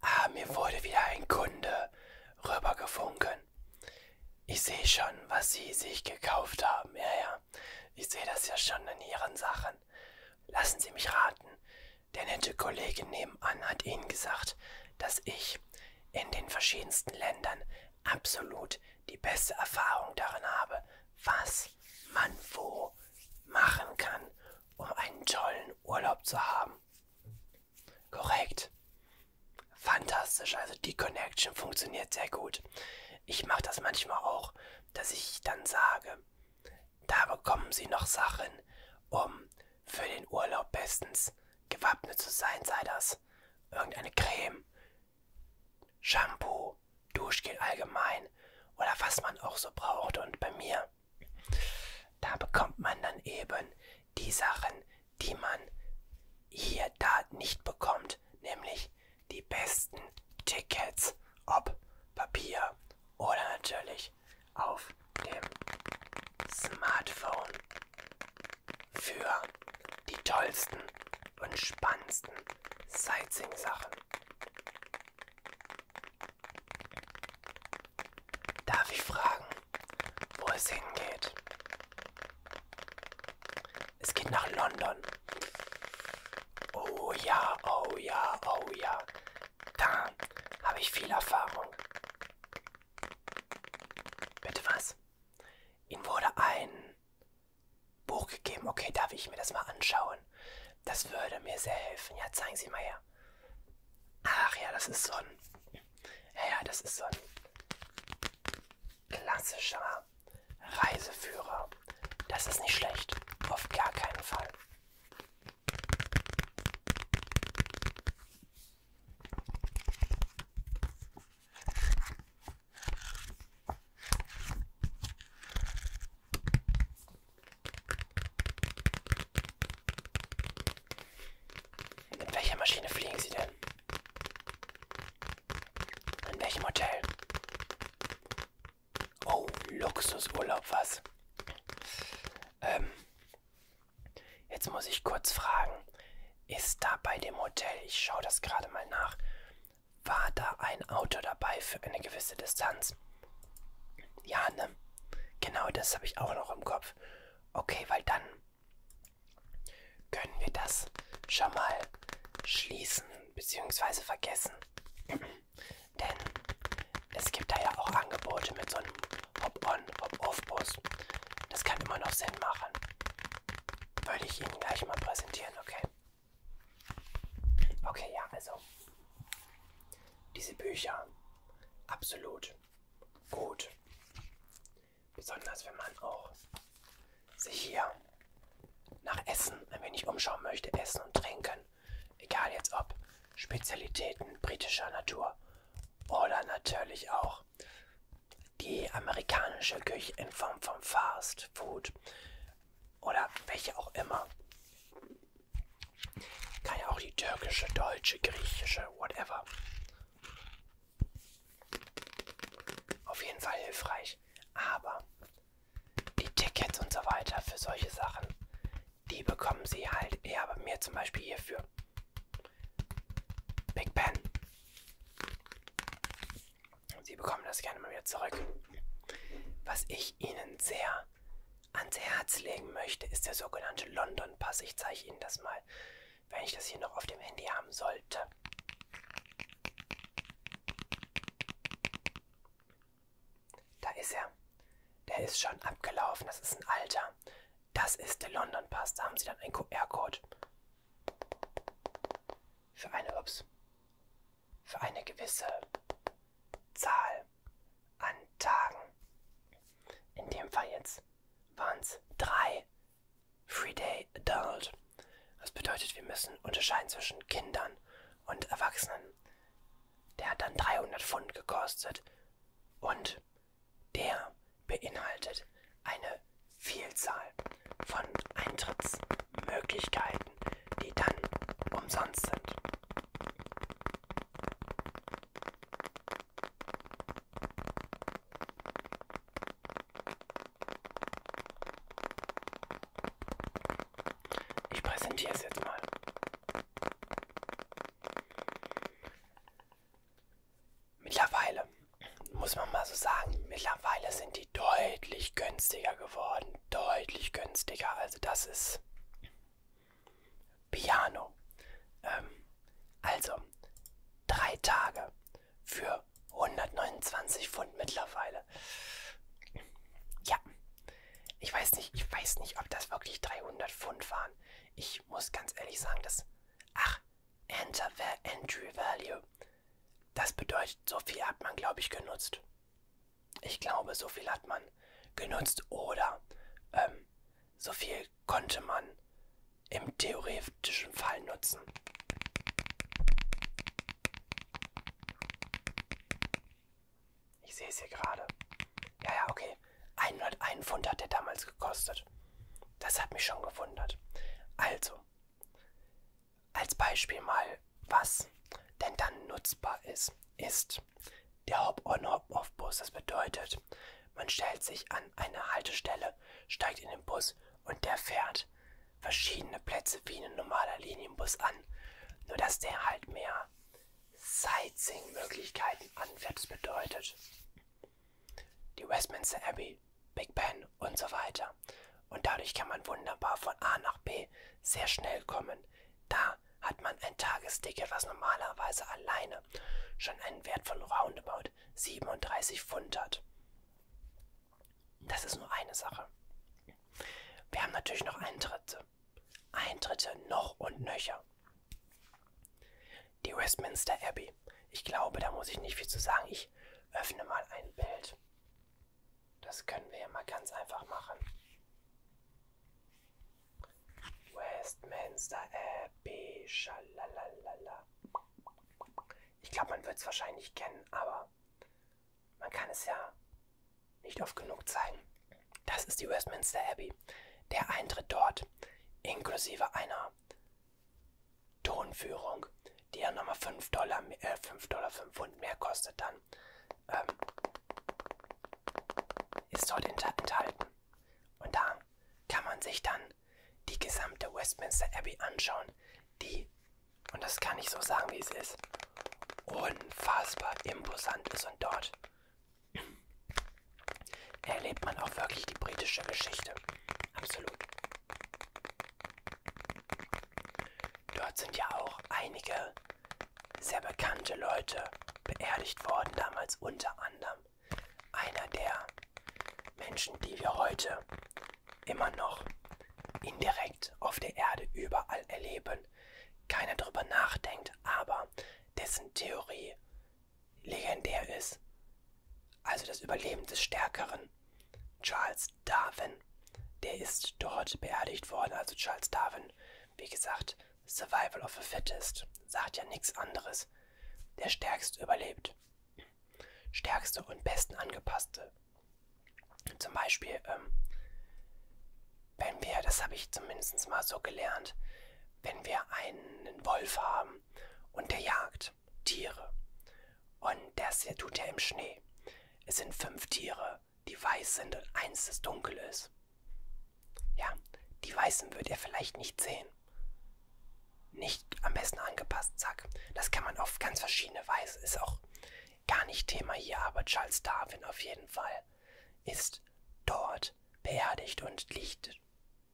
Ah, mir wurde wieder ein Kunde rübergefunken. Ich sehe schon, was Sie sich gekauft haben. Ja, ja. Ich sehe das ja schon in Ihren Sachen. Lassen Sie mich raten. Der nette Kollege nebenan hat Ihnen gesagt, dass ich in den verschiedensten Ländern absolut die beste Erfahrung darin habe, was man wo machen kann, um einen tollen Urlaub zu haben. Korrekt. Fantastisch. Also die Connection funktioniert sehr gut. Ich mache das manchmal auch, dass ich dann sage, da bekommen Sie noch Sachen, um für den Urlaub bestens gewappnet zu sein, sei das irgendeine Creme, Shampoo, Duschgel allgemein oder was man auch so braucht. Und bei mir da bekommt man dann eben die Sachen, die man hier da nicht bekommt, nämlich die besten Tickets, ob Papier oder natürlich auf dem Smartphone für die tollsten und spannendsten Sightseeing-Sachen. Darf ich fragen, wo es hingeht? Es geht nach London. Oh ja, oh ja, oh ja. Da habe ich viel Erfahrung. Bitte was? Ihm wurde ein Buch gegeben. Okay, darf ich mir das mal anschauen? Das würde mir sehr helfen. Ja, zeigen Sie mal her. Ach ja, das ist so ein. Ja, ja, das ist so ein klassischer Reiseführer. Das ist nicht schlecht. Auf gar keinen Fall. Mit welcher Maschine fliegen Sie denn? In welchem Hotel? Oh, Luxusurlaub, was? Ähm, jetzt muss ich kurz fragen, ist da bei dem Hotel, ich schaue das gerade mal nach, war da ein Auto dabei für eine gewisse Distanz? Ja, ne? Genau, das habe ich auch noch im Kopf. Okay, weil dann können wir das schon mal schließen bzw. vergessen. Denn es gibt da ja auch Angebote mit so einem Hop-on, Hop-off-Bus. Das kann immer noch Sinn machen. Würde ich Ihnen gleich mal präsentieren, okay? Okay, ja, also diese Bücher absolut gut. Besonders wenn man auch sich hier nach Essen ein wenig umschauen möchte, Essen und Trinken. Egal jetzt ob Spezialitäten britischer Natur oder natürlich auch die amerikanische Küche in Form von Fast Food oder welche auch immer. Kann ja auch die türkische, deutsche, griechische, whatever. Auf jeden Fall hilfreich. Aber die Tickets und so weiter für solche Sachen, die bekommen sie halt eher bei mir zum Beispiel hierfür. Big Ben. Sie bekommen das gerne mal wieder zurück. Was ich Ihnen sehr ans Herz legen möchte, ist der sogenannte London Pass. Ich zeige Ihnen das mal, wenn ich das hier noch auf dem Handy haben sollte. Da ist er. Der ist schon abgelaufen. Das ist ein alter. Das ist der London Pass. Da haben Sie dann einen QR-Code. Für eine, ups, für eine gewisse Zahl an Tagen. In dem Fall jetzt waren es drei Free Day Adult. Das bedeutet, wir müssen unterscheiden zwischen Kindern und Erwachsenen. Der hat dann 300 Pfund gekostet und der beinhaltet eine Vielzahl von Eintrittsmöglichkeiten. Antworten, die dann umsonst sind. Ich präsentiere es jetzt mal. Mittlerweile, muss man mal so sagen, mittlerweile sind die deutlich günstiger geworden sind deutlich günstiger. Also das ist Piano. Ähm, also drei Tage für 129 Pfund mittlerweile. Ja, ich weiß nicht, ich weiß nicht, ob das wirklich 300 Pfund waren. Ich muss ganz ehrlich sagen, dass ach Enter Entry Value. Das bedeutet, so viel hat man, glaube ich, genutzt. Ich glaube, so viel hat man genutzt oder ähm, so viel konnte man im theoretischen Fall nutzen. Ich sehe es hier gerade. Ja, ja, okay. 101 Pfund hat der damals gekostet. Das hat mich schon gewundert. Also, als Beispiel mal, was denn dann nutzbar ist, ist der Hop-on-Hop-off-Bus. Das bedeutet, man stellt sich an eine Haltestelle, steigt in den Bus und der fährt verschiedene Plätze wie ein normaler Linienbus an. Nur dass der halt mehr Sightseeing-Möglichkeiten anfährt. Das bedeutet, die Westminster Abbey Big Ben und so weiter. Und dadurch kann man wunderbar von A nach B sehr schnell kommen. Da hat man ein Tagesticket, was normalerweise alleine schon einen Wert von roundabout 37 Pfund hat. Das ist nur eine Sache. Wir haben natürlich noch Eintritte. Eintritte noch und nöcher. Die Westminster Abbey. Ich glaube, da muss ich nicht viel zu sagen. Ich öffne mal ein Bild. Das können wir ja mal ganz einfach machen. Westminster Abbey, schalalalala. Ich glaube, man wird es wahrscheinlich kennen, aber man kann es ja nicht oft genug zeigen. Das ist die Westminster Abbey. Der Eintritt dort, inklusive einer Tonführung, die ja nochmal 5 Dollar, äh, 5 Dollar 5 Pfund mehr kostet dann, ähm, ist dort enthalten. Und da kann man sich dann die gesamte Westminster Abbey anschauen, die, und das kann ich so sagen, wie es ist, unfassbar imposant ist und dort erlebt man auch wirklich die britische Geschichte. Absolut. Dort sind ja auch einige sehr bekannte Leute beerdigt worden, damals unter anderem einer der Menschen, die wir heute immer noch indirekt auf der Erde überall erleben. Keiner drüber nachdenkt, aber dessen Theorie legendär ist. Also das Überleben des Stärkeren. Charles Darwin. Der ist dort beerdigt worden. Also Charles Darwin, wie gesagt, Survival of the Fittest. Sagt ja nichts anderes. Der Stärkste überlebt. Stärkste und besten angepasste. Zum Beispiel, ähm, wenn wir, das habe ich zumindest mal so gelernt, wenn wir einen Wolf haben und der jagt sind Tiere. Und das hier tut er im Schnee. Es sind fünf Tiere, die weiß sind und eins, das dunkel ist. Ja, die Weißen wird er vielleicht nicht sehen. Nicht am besten angepasst, zack. Das kann man auf ganz verschiedene Weise. Ist auch gar nicht Thema hier, aber Charles Darwin auf jeden Fall ist dort beerdigt und liegt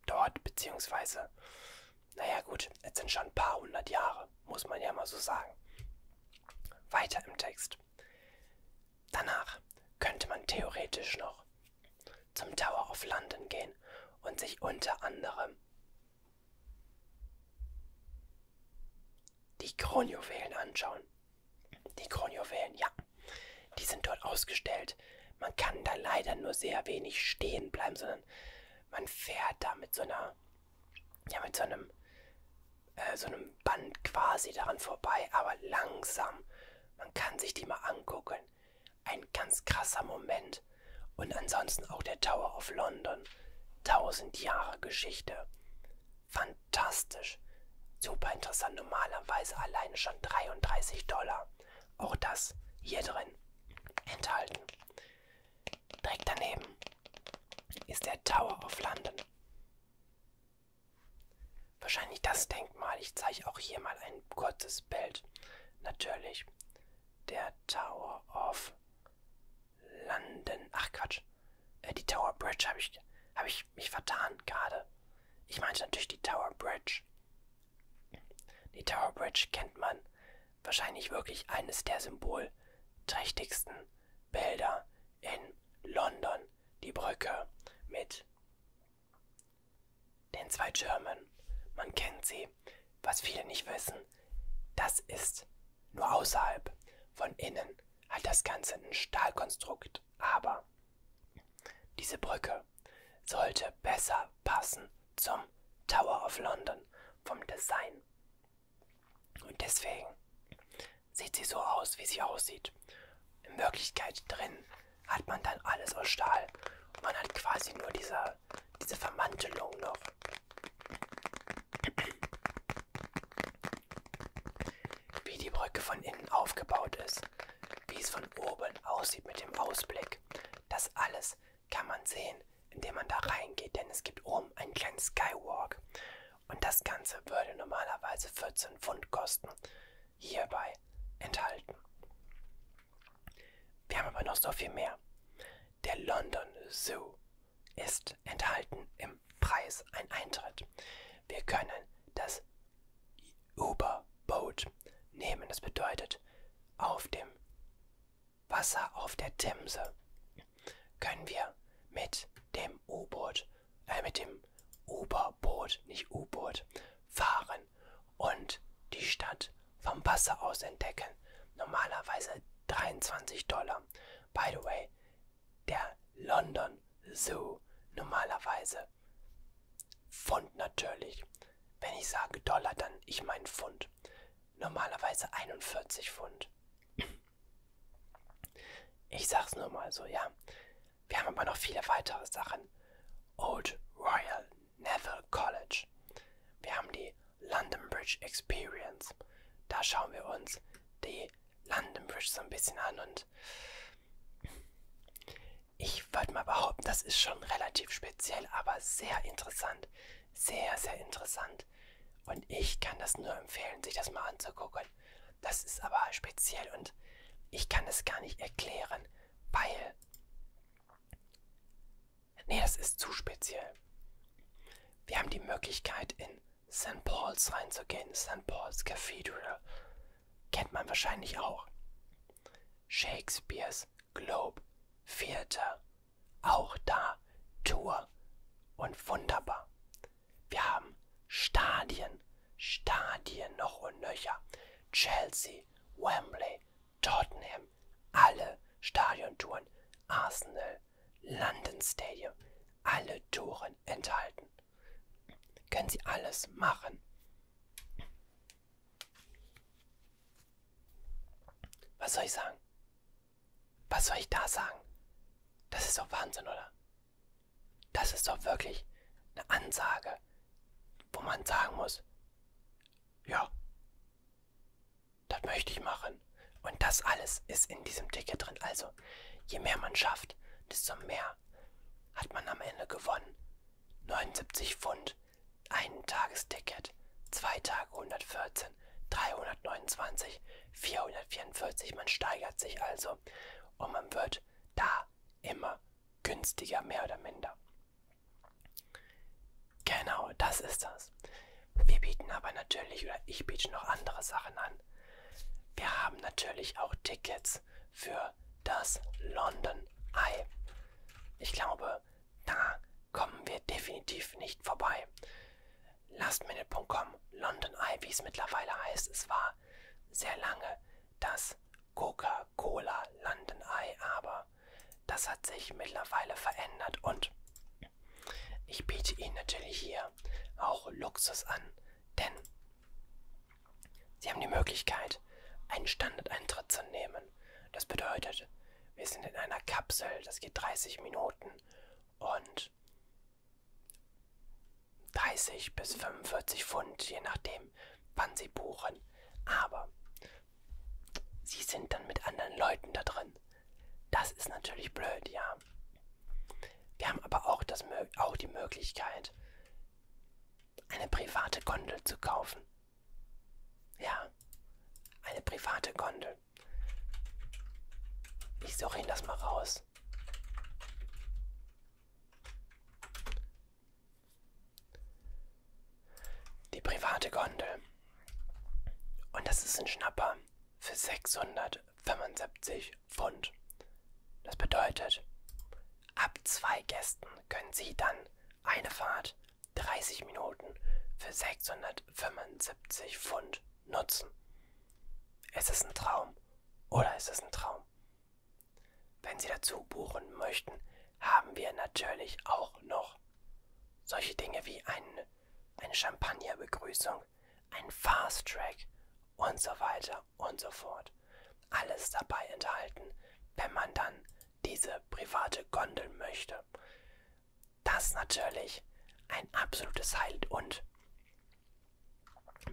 dort, beziehungsweise, naja gut, jetzt sind schon ein paar hundert Jahre, muss man ja mal so sagen. Weiter im Text. Danach könnte man theoretisch noch zum Tower of London gehen und sich unter anderem die Kronjuwelen anschauen. Die Kronjuwelen, ja, die sind dort ausgestellt. Man kann da leider nur sehr wenig stehen bleiben, sondern man fährt da mit so einer, ja, mit so einem, äh, so einem Band quasi daran vorbei, aber langsam. Man kann sich die mal angucken. Ein ganz krasser Moment. Und ansonsten auch der Tower of London. Tausend Jahre Geschichte. Fantastisch. Super interessant. Normalerweise alleine schon 33 Dollar. Auch das hier drin enthalten. Direkt daneben ist der Tower of London. Wahrscheinlich das Denkmal. Ich zeige auch hier mal ein kurzes Bild. Natürlich der Tower of London. Ach Quatsch. Äh, die Tower Bridge habe ich, hab ich mich vertan gerade. Ich meinte natürlich die Tower Bridge. Die Tower Bridge kennt man. Wahrscheinlich wirklich eines der symbolträchtigsten Bilder in London. Die Brücke mit den zwei Türmen. Man kennt sie. Was viele nicht wissen, das ist nur außerhalb. Von innen hat das Ganze ein Stahlkonstrukt. Aber diese Brücke sollte besser passen zum Tower of London vom Design. Und deswegen sieht sie so aus, wie sie aussieht. In Wirklichkeit drin hat man dann alles aus Stahl. Und man hat quasi nur diese, diese Vermantelung noch. Wie die Brücke von innen aufgebaut ist, wie es von oben aussieht mit dem Ausblick. Das alles kann man sehen, indem man da reingeht, denn es gibt oben einen kleinen Skywalk. Und das Ganze würde normalerweise 14 Pfund kosten, hierbei enthalten. Wir haben aber noch so viel mehr. Der London Zoo ist enthalten im Preis ein Eintritt. Wir können das über Boat nehmen. Das bedeutet, auf dem Wasser, auf der Themse, können wir mit dem U-Boot, äh, mit dem Oberboot, nicht U-Boot, fahren und die Stadt vom Wasser aus entdecken. Normalerweise 23 Dollar. By the way, der London Zoo normalerweise. Pfund natürlich. Wenn ich sage Dollar, dann ich meine Pfund. Normalerweise 41 Pfund. Ich sag's nur mal so, ja. Wir haben aber noch viele weitere Sachen. Old Royal Neville College. Wir haben die London Bridge Experience. Da schauen wir uns die London Bridge so ein bisschen an und ich würde mal behaupten, das ist schon relativ speziell, aber sehr interessant. Sehr, sehr interessant. Und ich kann das nur empfehlen, sich das mal anzugucken. Das ist aber speziell und ich kann es gar nicht erklären, weil... Nee, das ist zu speziell. Wir haben die Möglichkeit, in St. Paul's reinzugehen. St. Paul's Cathedral. Kennt man wahrscheinlich auch. Shakespeares Globe, vierter, auch da Tour und wunderbar. Wir haben Stadien, Stadien noch und nöcher. Chelsea, Wembley, Tottenham, alle Stadiontouren, Arsenal, London Stadium, alle Touren enthalten können Sie alles machen. Was soll ich sagen? Was soll ich da sagen? Das ist doch Wahnsinn, oder? Das ist doch wirklich eine Ansage, wo man sagen muss, ja, das möchte ich machen. Und das alles ist in diesem Ticket drin. Also, je mehr man schafft, desto mehr hat man am Ende gewonnen. 79 Pfund, ein Tagesticket, zwei Tage 114, 329, 444. Man steigert sich also und man wird da immer günstiger, mehr oder minder. Genau, das ist das. Wir bieten aber natürlich, oder ich biete noch andere Sachen an. Wir haben natürlich auch Tickets für das London Eye. Ich glaube, da kommen wir definitiv nicht vorbei. Lastminute.com, London Eye, wie es mittlerweile heißt, es war sehr lange das Coca-Cola London Eye, aber das hat sich mittlerweile verändert und ich biete Ihnen natürlich hier auch Luxus an, denn Sie haben die Möglichkeit, einen Standardeintritt zu nehmen. Das bedeutet, wir sind in einer Kapsel, das geht 30 Minuten und 30 bis 45 Pfund, je nachdem, wann Sie buchen. Aber Sie sind dann mit anderen Leuten da drin. Das ist natürlich blöd, ja. Wir haben aber auch, das, auch die Möglichkeit, eine private Gondel zu kaufen. Ja, eine private Gondel. Ich suche ihn das mal raus. Die private Gondel. Und das ist ein Schnapper für 600 75 Pfund. Das bedeutet, ab zwei Gästen können Sie dann eine Fahrt 30 Minuten für 675 Pfund nutzen. Es ist ein Traum oder es ist ein Traum. Wenn Sie dazu buchen möchten, haben wir natürlich auch noch solche Dinge wie ein, eine Champagnerbegrüßung, ein Fast Track und so weiter weiter und so fort. Alles dabei enthalten, wenn man dann diese private Gondel möchte. Das natürlich ein absolutes Highlight und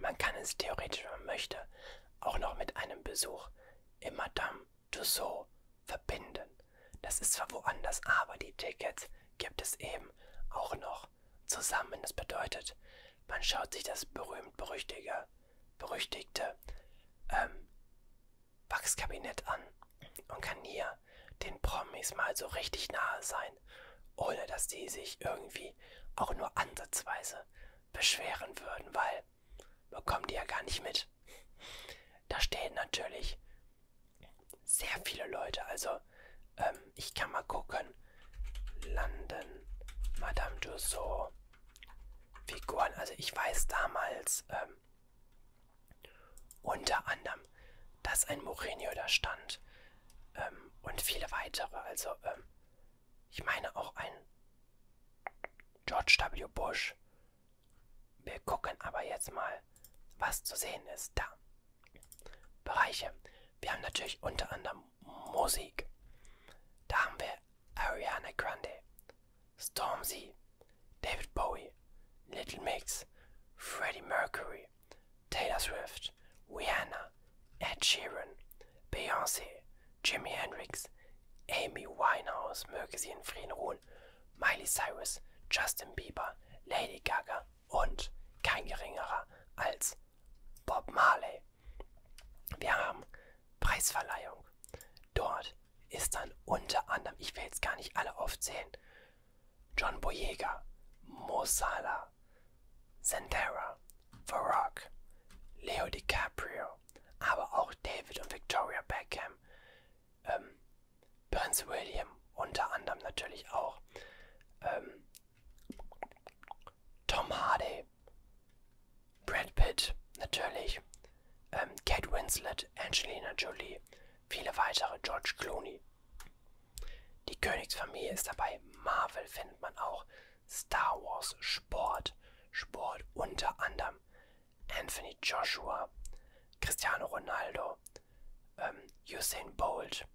man kann es theoretisch, wenn man möchte, auch noch mit einem Besuch in Madame Tussauds verbinden. Das ist zwar woanders, aber die Tickets gibt es eben auch noch auch zusammen. Das bedeutet, man schaut sich das berühmt-berüchtigte berüchtigte, ähm, Wachskabinett an und kann hier den Promis mal so richtig nahe sein, ohne dass die sich irgendwie auch nur ansatzweise beschweren würden, weil bekommen die ja gar nicht mit. Da stehen natürlich sehr viele Leute, also ähm, ich kann mal gucken. Landen, Madame Dussault. Figuren, also ich weiß damals ähm, unter anderem, dass ein Mourinho da stand ähm, und viele weitere. Also ähm, ich meine auch ein George W. Bush. Wir gucken aber jetzt mal, was zu sehen ist da. Bereiche. Wir haben natürlich unter anderem Musik. Da haben wir Ariana Grande, Stormzy, David Bowie, Little Mix, Freddie Mercury, Taylor Swift, Rihanna, Ed Sheeran, Beyoncé, Jimi Hendrix, Amy Winehouse, möge sie in Frieden ruhen, Miley Cyrus, Justin Bieber, Lady Gaga, und kein geringerer als Bob Marley. Wir haben Preisverleihung. Dort ist dann unter anderem, ich will jetzt gar nicht alle aufzählen, John Boyega, Mo Salah, Zendera, The Rock, Leo DiCaprio, aber auch David und Victoria Beckham, ähm, Prince William unter anderem natürlich auch, ähm, Tom Hardy, Brad Pitt natürlich, ähm, Kate Winslet, Angelina Jolie, viele weitere, George Clooney. Die Königsfamilie ist dabei, Marvel findet man auch, Star Wars, Sport, Sport unter anderem, Anthony Joshua, Cristiano Ronaldo, ähm, Usain Bolt,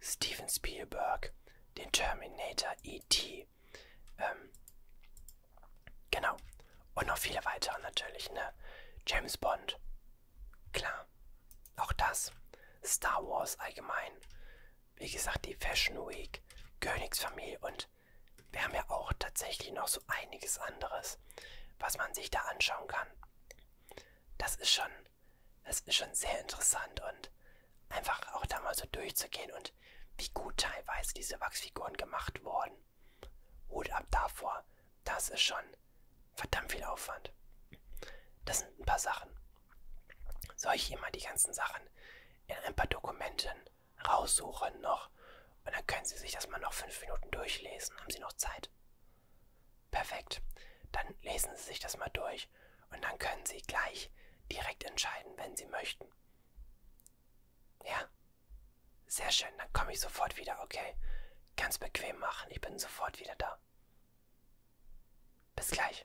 Steven Spielberg, den Terminator E.T. Ähm, genau. Und noch viele weitere natürlich, ne? James Bond. Klar. Auch das. Star Wars allgemein. Wie gesagt, die Fashion Week, Königsfamilie und wir haben ja auch tatsächlich noch so einiges anderes, was man sich da anschauen kann. Das ist schon das ist schon sehr interessant und einfach auch da mal so durchzugehen und wie gut teilweise diese Wachsfiguren gemacht wurden. Hut ab davor, das ist schon verdammt viel Aufwand. Das sind ein paar Sachen. Soll ich hier mal die ganzen Sachen in ein paar Dokumenten raussuchen noch? Und dann können Sie sich das mal noch fünf Minuten durchlesen. Haben Sie noch Zeit? Perfekt. Dann lesen Sie sich das mal durch durch und dann können Sie gleich direkt entscheiden, wenn Sie möchten. Ja? Sehr schön, dann komme ich sofort wieder, okay? Ganz bequem machen, ich bin sofort wieder da. Bis gleich.